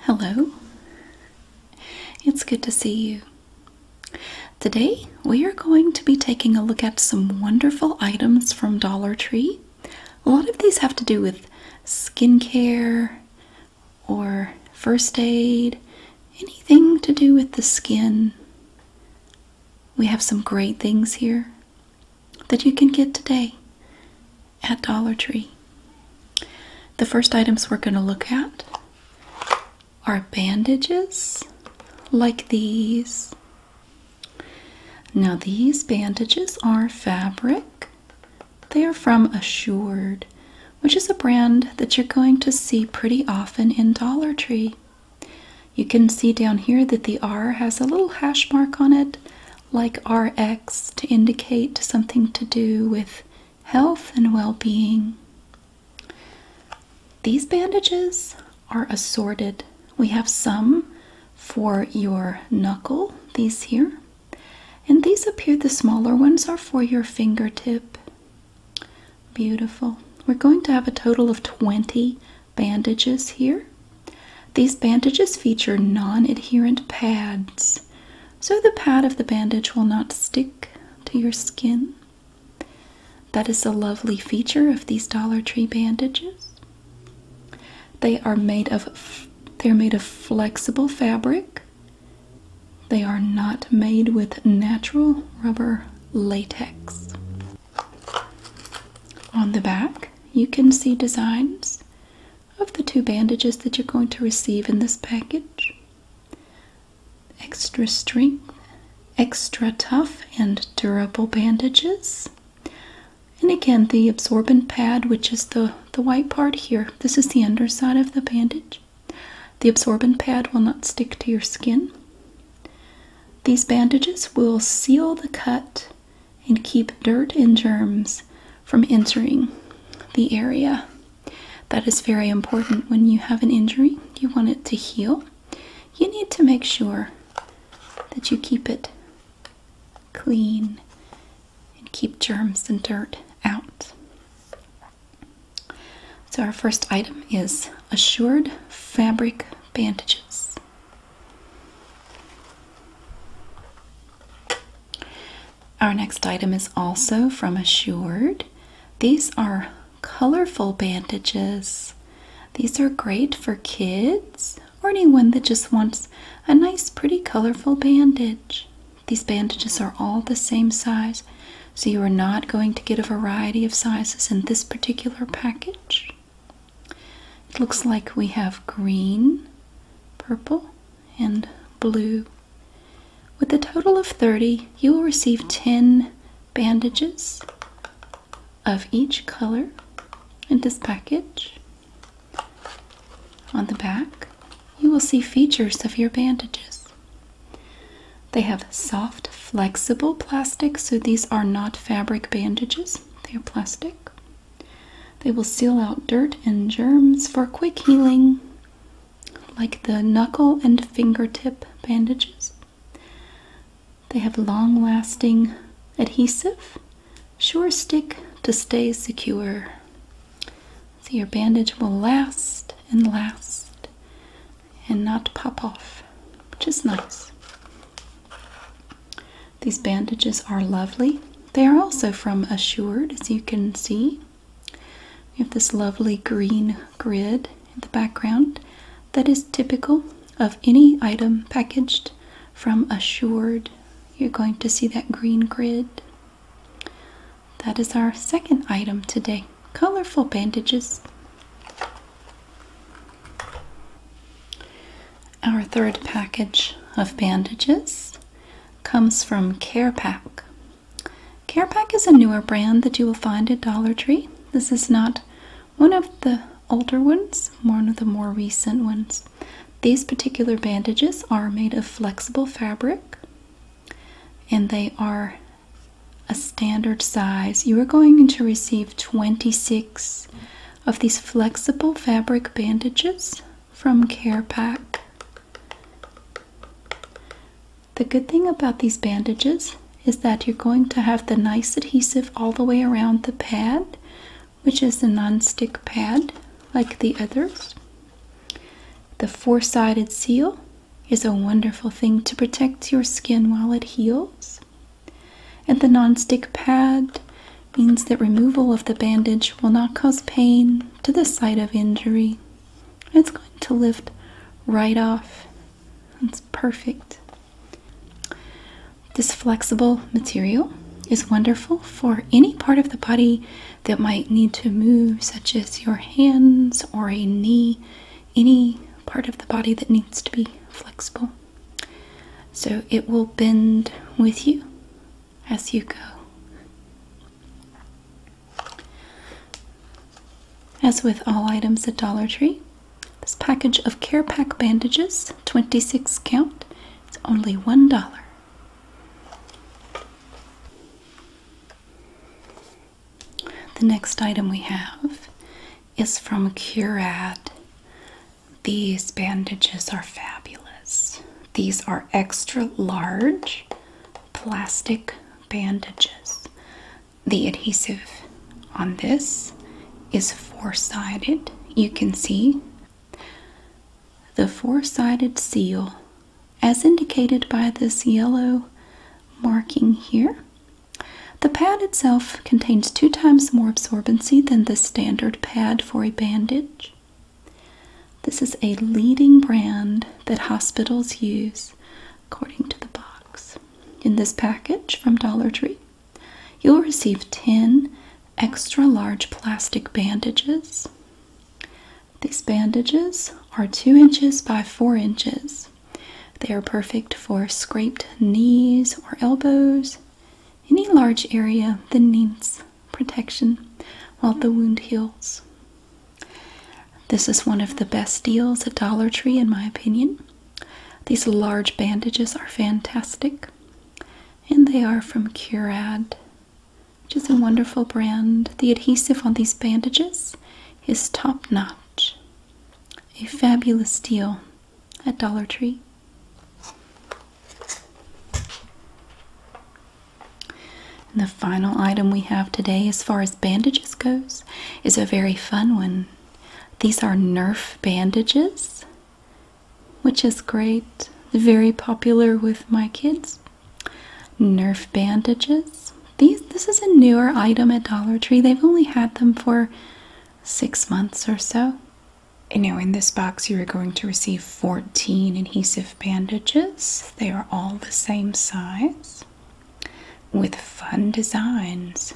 Hello, it's good to see you. Today we are going to be taking a look at some wonderful items from Dollar Tree. A lot of these have to do with skincare or first aid, anything to do with the skin. We have some great things here that you can get today at Dollar Tree. The first items we're going to look at are bandages like these. Now, these bandages are fabric. They are from Assured, which is a brand that you're going to see pretty often in Dollar Tree. You can see down here that the R has a little hash mark on it like RX to indicate something to do with health and well being. These bandages are assorted. We have some for your knuckle, these here, and these up here, the smaller ones, are for your fingertip. Beautiful. We're going to have a total of 20 bandages here. These bandages feature non adherent pads so the pad of the bandage will not stick to your skin. That is a lovely feature of these Dollar Tree bandages. They are made of they're made of flexible fabric. They are not made with natural rubber latex. On the back, you can see designs of the two bandages that you're going to receive in this package. Extra strength, extra tough, and durable bandages. And again, the absorbent pad, which is the, the white part here, this is the underside of the bandage. The absorbent pad will not stick to your skin. These bandages will seal the cut and keep dirt and germs from entering the area. That is very important when you have an injury, you want it to heal. You need to make sure that you keep it clean and keep germs and dirt out. So, our first item is assured fabric bandages. Our next item is also from Assured. These are colorful bandages. These are great for kids or anyone that just wants a nice, pretty, colorful bandage. These bandages are all the same size, so you are not going to get a variety of sizes in this particular package. It looks like we have green, purple, and blue. With a total of 30, you will receive 10 bandages of each color in this package. On the back, you will see features of your bandages. They have soft, flexible plastic, so these are not fabric bandages, they are plastic. They will seal out dirt and germs for quick healing, like the knuckle and fingertip bandages. They have long lasting adhesive, sure stick to stay secure. So your bandage will last and last and not pop off, which is nice. These bandages are lovely. They are also from Assured, as you can see. We have this lovely green grid in the background that is typical of any item packaged from Assured. You're going to see that green grid. That is our second item today colorful bandages. Our third package of bandages comes from CarePack. CarePack is a newer brand that you will find at Dollar Tree. This is not one of the older ones, one of the more recent ones. These particular bandages are made of flexible fabric and they are a standard size. You are going to receive 26 of these flexible fabric bandages from CarePack. The good thing about these bandages is that you're going to have the nice adhesive all the way around the pad, which is a non-stick pad like the others. The four-sided seal is a wonderful thing to protect your skin while it heals. And the non-stick pad means that removal of the bandage will not cause pain to the site of injury. It's going to lift right off. It's perfect. This flexible material is wonderful for any part of the body that might need to move, such as your hands or a knee, any part of the body that needs to be flexible. So it will bend with you as you go. As with all items at Dollar Tree, this package of Care Pack bandages, 26 count, it's only $1. The next item we have is from Curad. These bandages are fabulous. These are extra large plastic bandages. The adhesive on this is four sided. You can see the four sided seal, as indicated by this yellow marking here. The pad itself contains two times more absorbency than the standard pad for a bandage. This is a leading brand that hospitals use, according to the box. In this package from Dollar Tree, you'll receive 10 extra large plastic bandages. These bandages are 2 inches by 4 inches. They are perfect for scraped knees or elbows, any large area that needs protection while the wound heals. This is one of the best deals at Dollar Tree, in my opinion. These large bandages are fantastic, and they are from Curad, which is a wonderful brand. The adhesive on these bandages is top notch. A fabulous deal at Dollar Tree the final item we have today, as far as bandages goes, is a very fun one. These are Nerf bandages, which is great. Very popular with my kids. Nerf bandages. These this is a newer item at Dollar Tree. They've only had them for six months or so. You know, in this box, you are going to receive 14 adhesive bandages. They are all the same size with fun designs.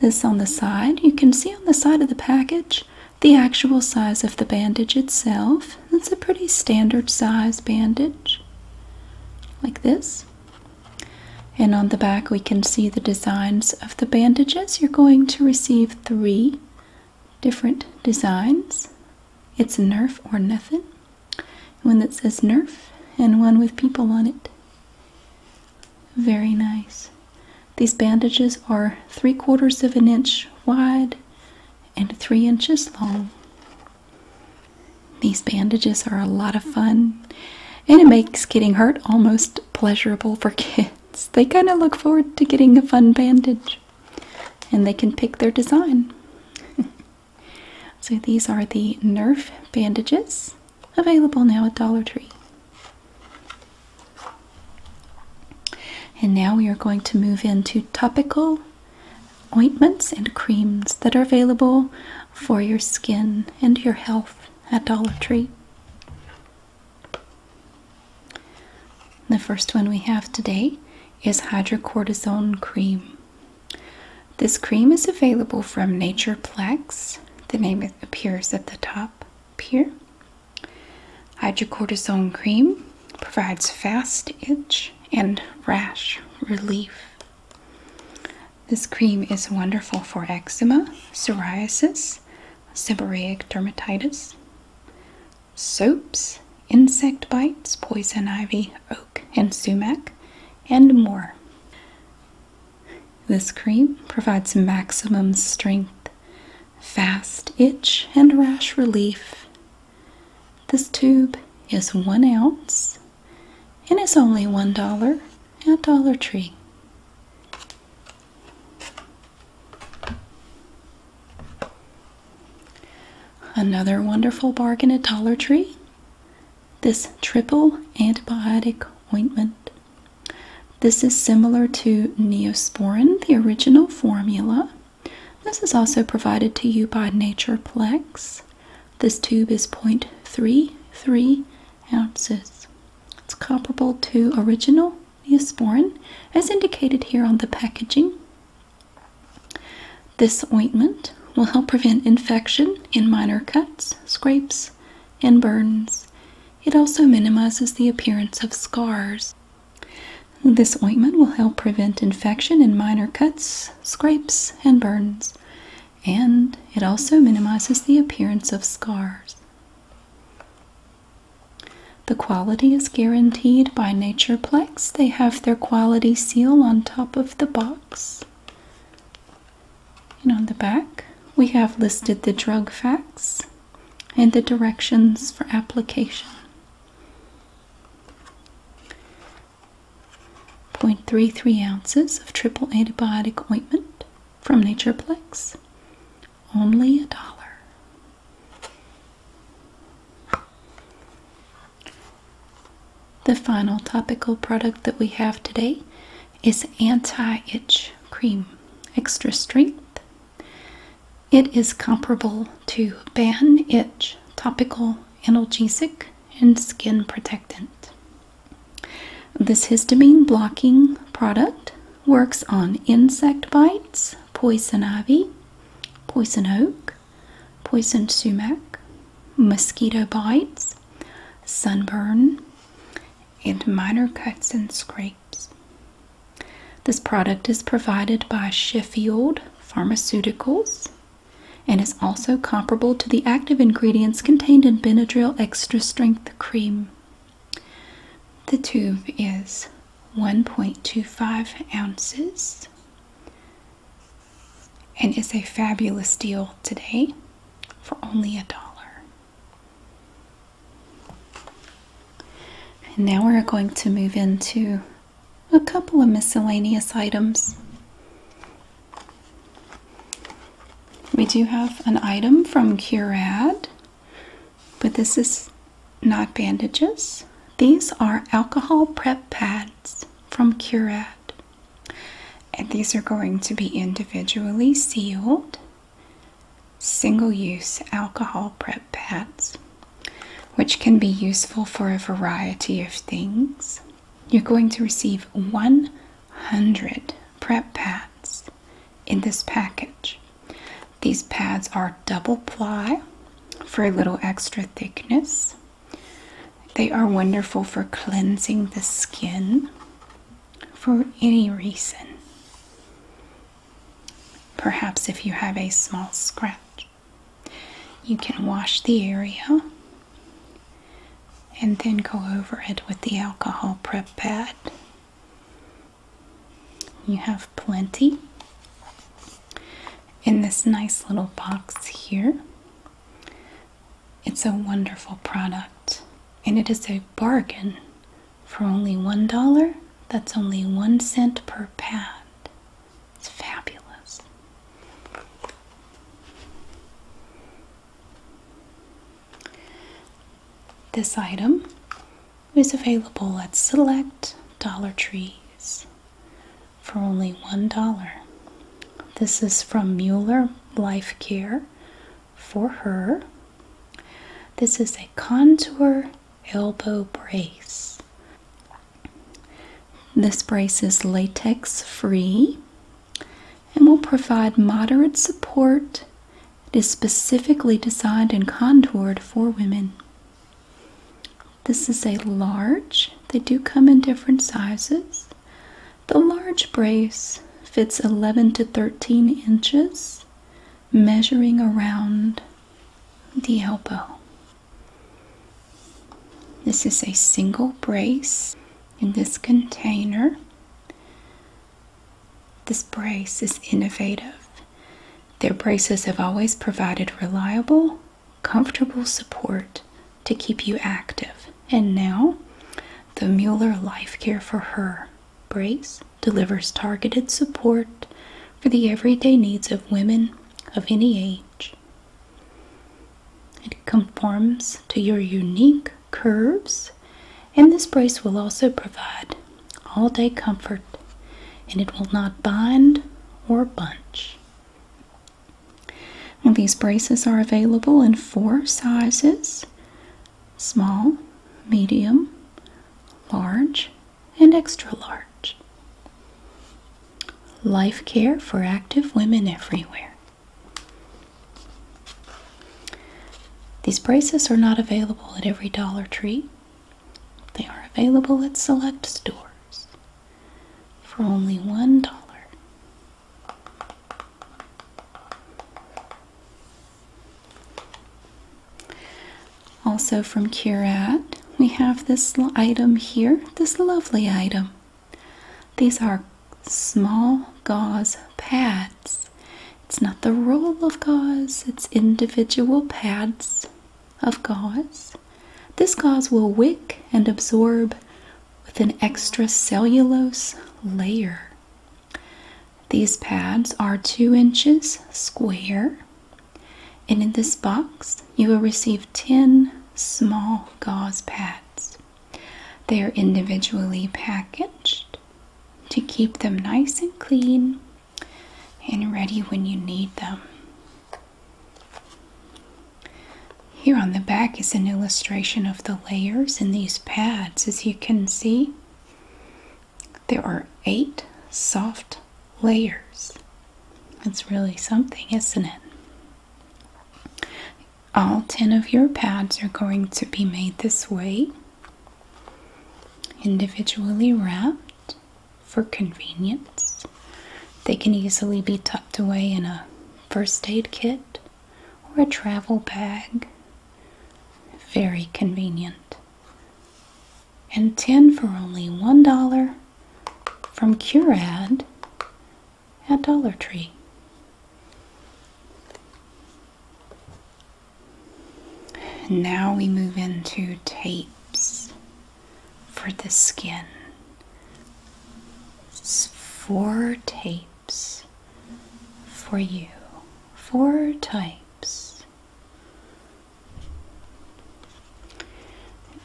This on the side, you can see on the side of the package the actual size of the bandage itself. It's a pretty standard size bandage, like this. And on the back, we can see the designs of the bandages. You're going to receive three different designs. It's Nerf or Nothing. One that says Nerf and one with people on it. Very nice. These bandages are three quarters of an inch wide and three inches long. These bandages are a lot of fun and it makes getting hurt almost pleasurable for kids. They kind of look forward to getting a fun bandage and they can pick their design. so these are the Nerf bandages available now at Dollar Tree. And now we are going to move into topical ointments and creams that are available for your skin and your health at Dollar Tree. The first one we have today is hydrocortisone cream. This cream is available from Natureplex. The name appears at the top here. Hydrocortisone cream provides fast itch and rash relief. This cream is wonderful for eczema, psoriasis, seborrheic dermatitis, soaps, insect bites, poison ivy, oak, and sumac, and more. This cream provides maximum strength, fast itch, and rash relief. This tube is one ounce and it's only one dollar at Dollar Tree. Another wonderful bargain at Dollar Tree this triple antibiotic ointment. This is similar to Neosporin, the original formula. This is also provided to you by Nature Plex. This tube is 0.33 ounces. It's comparable to original Neosporin, as indicated here on the packaging. This ointment will help prevent infection in minor cuts, scrapes, and burns. It also minimizes the appearance of scars. This ointment will help prevent infection in minor cuts, scrapes, and burns, and it also minimizes the appearance of scars. The quality is guaranteed by Natureplex. They have their quality seal on top of the box. And on the back, we have listed the drug facts and the directions for application. Point three three ounces of triple antibiotic ointment from Natureplex, only a dollar. The final topical product that we have today is Anti Itch Cream Extra Strength. It is comparable to Ban Itch Topical Analgesic and Skin Protectant. This histamine blocking product works on insect bites, poison ivy, poison oak, poison sumac, mosquito bites, sunburn, and minor cuts and scrapes. This product is provided by Sheffield Pharmaceuticals and is also comparable to the active ingredients contained in Benadryl Extra Strength Cream. The tube is 1.25 ounces and it's a fabulous deal today for only a dollar. And now we're going to move into a couple of miscellaneous items. We do have an item from Curad, but this is not bandages. These are alcohol prep pads from Curad. And these are going to be individually sealed single use alcohol prep pads, which can be useful for a variety of things. You're going to receive 100 prep pads in this package. These pads are double ply for a little extra thickness. They are wonderful for cleansing the skin for any reason. Perhaps if you have a small scratch, you can wash the area and then go over it with the alcohol prep pad. You have plenty in this nice little box here. It's a wonderful product and it is a bargain for only one dollar. That's only one cent per pad. It's fabulous. This item is available at select Dollar Trees for only $1. This is from Mueller Life Care for her. This is a contour elbow brace. This brace is latex free and will provide moderate support. It is specifically designed and contoured for women. This is a large. They do come in different sizes. The large brace fits 11 to 13 inches, measuring around the elbow. This is a single brace in this container. This brace is innovative. Their braces have always provided reliable comfortable support to keep you active. And now, the Mueller Life Care for Her brace delivers targeted support for the everyday needs of women of any age. It conforms to your unique curves, and this brace will also provide all day comfort and it will not bind or bunch. And these braces are available in four sizes small, medium, large, and extra large. Life care for active women everywhere. These braces are not available at every Dollar Tree. They are available at select stores for only one dollar. Also from Curat, we have this item here, this lovely item. These are small gauze pads. It's not the roll of gauze, it's individual pads of gauze. This gauze will wick and absorb with an extracellulose layer. These pads are 2 inches square, and in this box, you will receive 10 small gauze pads. They are individually packaged to keep them nice and clean and ready when you need them. Here on the back is an illustration of the layers in these pads. As you can see, there are eight soft layers. It's really something, isn't it? All 10 of your pads are going to be made this way, individually wrapped for convenience. They can easily be tucked away in a first aid kit or a travel bag. Very convenient. And 10 for only $1 from Curad at Dollar Tree. Now we move into tapes for the skin. four tapes for you, four types.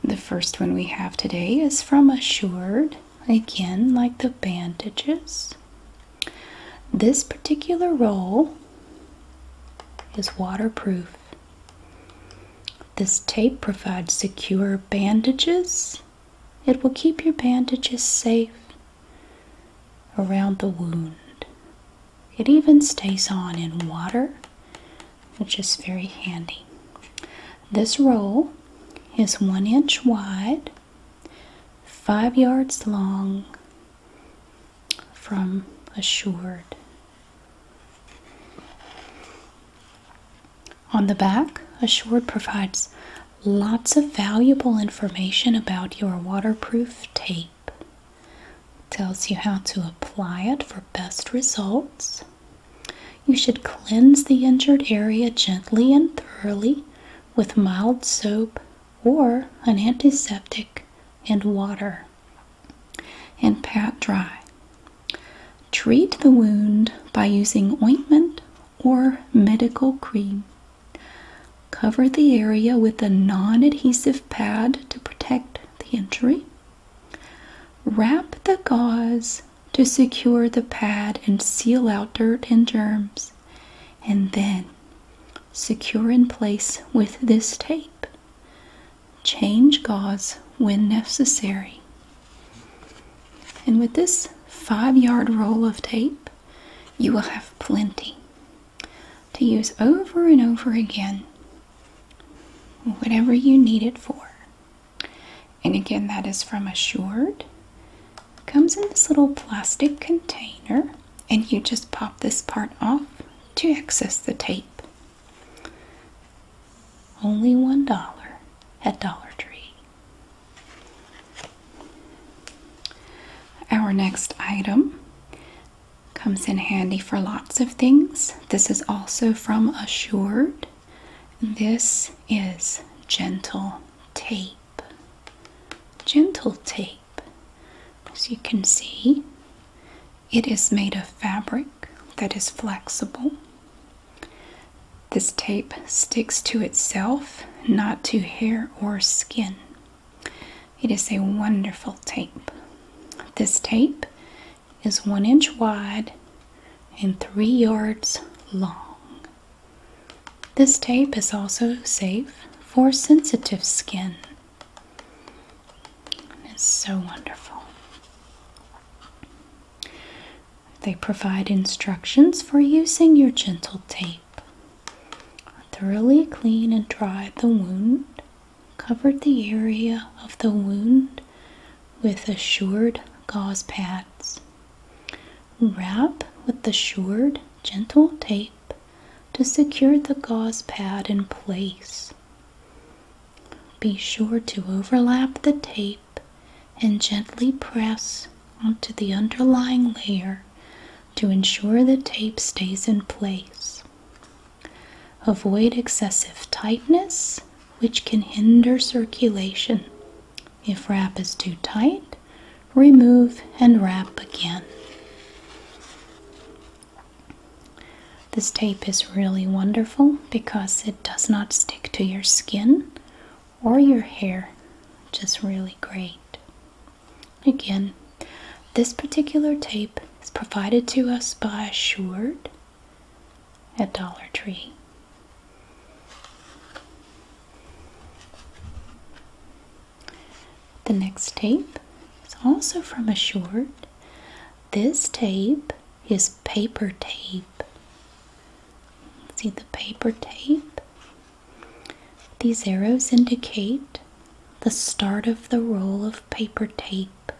The first one we have today is from Assured, again, like the bandages. This particular roll is waterproof this tape provides secure bandages. It will keep your bandages safe around the wound. It even stays on in water, which is very handy. This roll is one inch wide, five yards long from assured on the back, a short provides lots of valuable information about your waterproof tape. tells you how to apply it for best results. You should cleanse the injured area gently and thoroughly with mild soap or an antiseptic and water and pat dry. Treat the wound by using ointment or medical cream. Cover the area with a non adhesive pad to protect the injury. Wrap the gauze to secure the pad and seal out dirt and germs, and then secure in place with this tape change gauze when necessary. And with this five yard roll of tape, you will have plenty to use over and over again, whatever you need it for. And again, that is from Assured. Comes in this little plastic container, and you just pop this part off to access the tape. Only one dollar at Dollar Tree. Our next item comes in handy for lots of things. This is also from Assured. This is gentle tape. Gentle tape. As you can see, it is made of fabric that is flexible this tape sticks to itself, not to hair or skin. It is a wonderful tape. This tape is one inch wide and three yards long. This tape is also safe for sensitive skin. It's so wonderful. They provide instructions for using your gentle tape. Thoroughly clean and dry the wound. Cover the area of the wound with assured gauze pads. Wrap with assured gentle tape to secure the gauze pad in place. Be sure to overlap the tape and gently press onto the underlying layer to ensure the tape stays in place. Avoid excessive tightness, which can hinder circulation. If wrap is too tight, remove and wrap again. This tape is really wonderful because it does not stick to your skin or your hair, which is really great. Again, this particular tape is provided to us by Seward at Dollar Tree. The next tape is also from Assured. This tape is paper tape. See the paper tape? These arrows indicate the start of the roll of paper tape.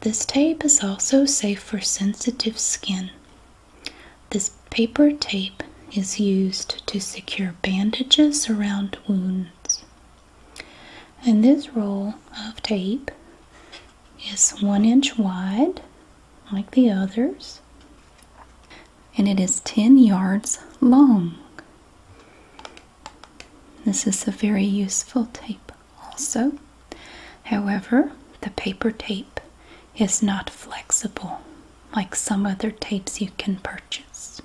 This tape is also safe for sensitive skin. This paper tape is used to secure bandages around wounds. And this roll of tape is one inch wide, like the others, and it is 10 yards long. This is a very useful tape, also. However, the paper tape is not flexible like some other tapes you can purchase.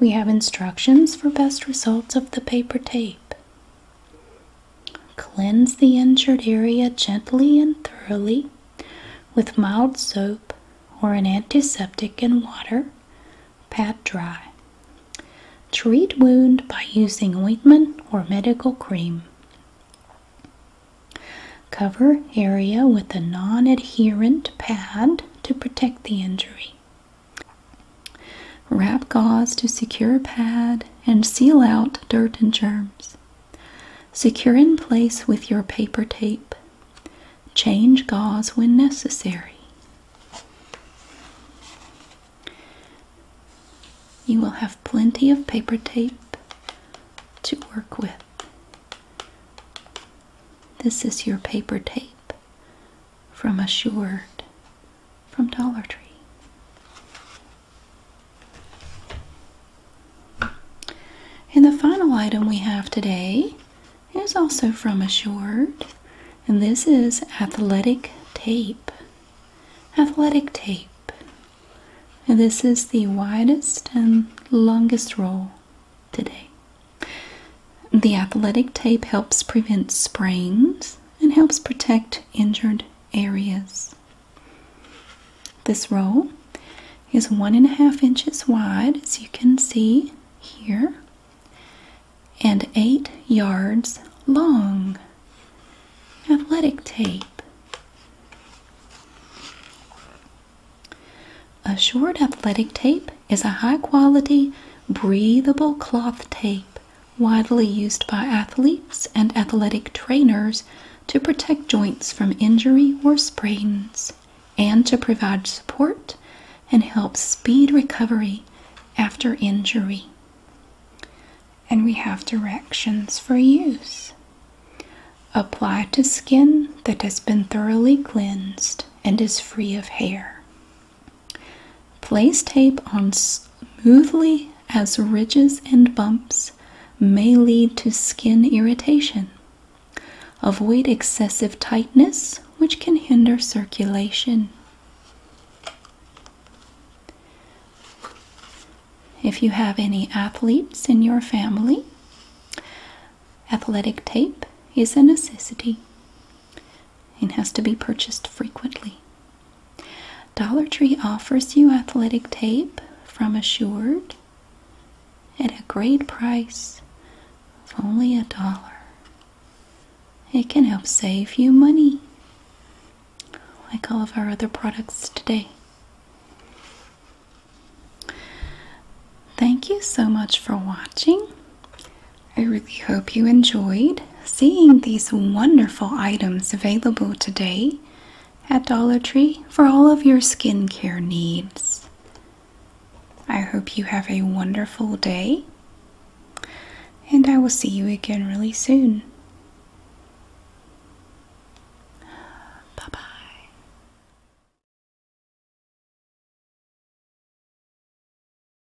We have instructions for best results of the paper tape. Cleanse the injured area gently and thoroughly with mild soap or an antiseptic and water. Pat dry. Treat wound by using ointment or medical cream. Cover area with a non adherent pad to protect the injury. Wrap gauze to secure pad and seal out dirt and germs. Secure in place with your paper tape. Change gauze when necessary. You will have plenty of paper tape to work with. This is your paper tape from Assured from Dollar Tree. And the final item we have today is also from Assured, and this is athletic tape. Athletic tape. And this is the widest and longest roll today. The athletic tape helps prevent sprains and helps protect injured areas. This roll is one and a half inches wide, as you can see here, and eight yards long. Athletic tape. A short athletic tape is a high quality breathable cloth tape widely used by athletes and athletic trainers to protect joints from injury or sprains and to provide support and help speed recovery after injury. And we have directions for use. Apply to skin that has been thoroughly cleansed and is free of hair. Place tape on smoothly as ridges and bumps may lead to skin irritation. Avoid excessive tightness, which can hinder circulation. If you have any athletes in your family, athletic tape is a necessity and has to be purchased frequently. Dollar Tree offers you athletic tape from Assured at a great price of only a dollar. It can help save you money, like all of our other products today. Thank you so much for watching. I really hope you enjoyed seeing these wonderful items available today at Dollar Tree for all of your skincare needs. I hope you have a wonderful day, and I will see you again really soon. Bye bye.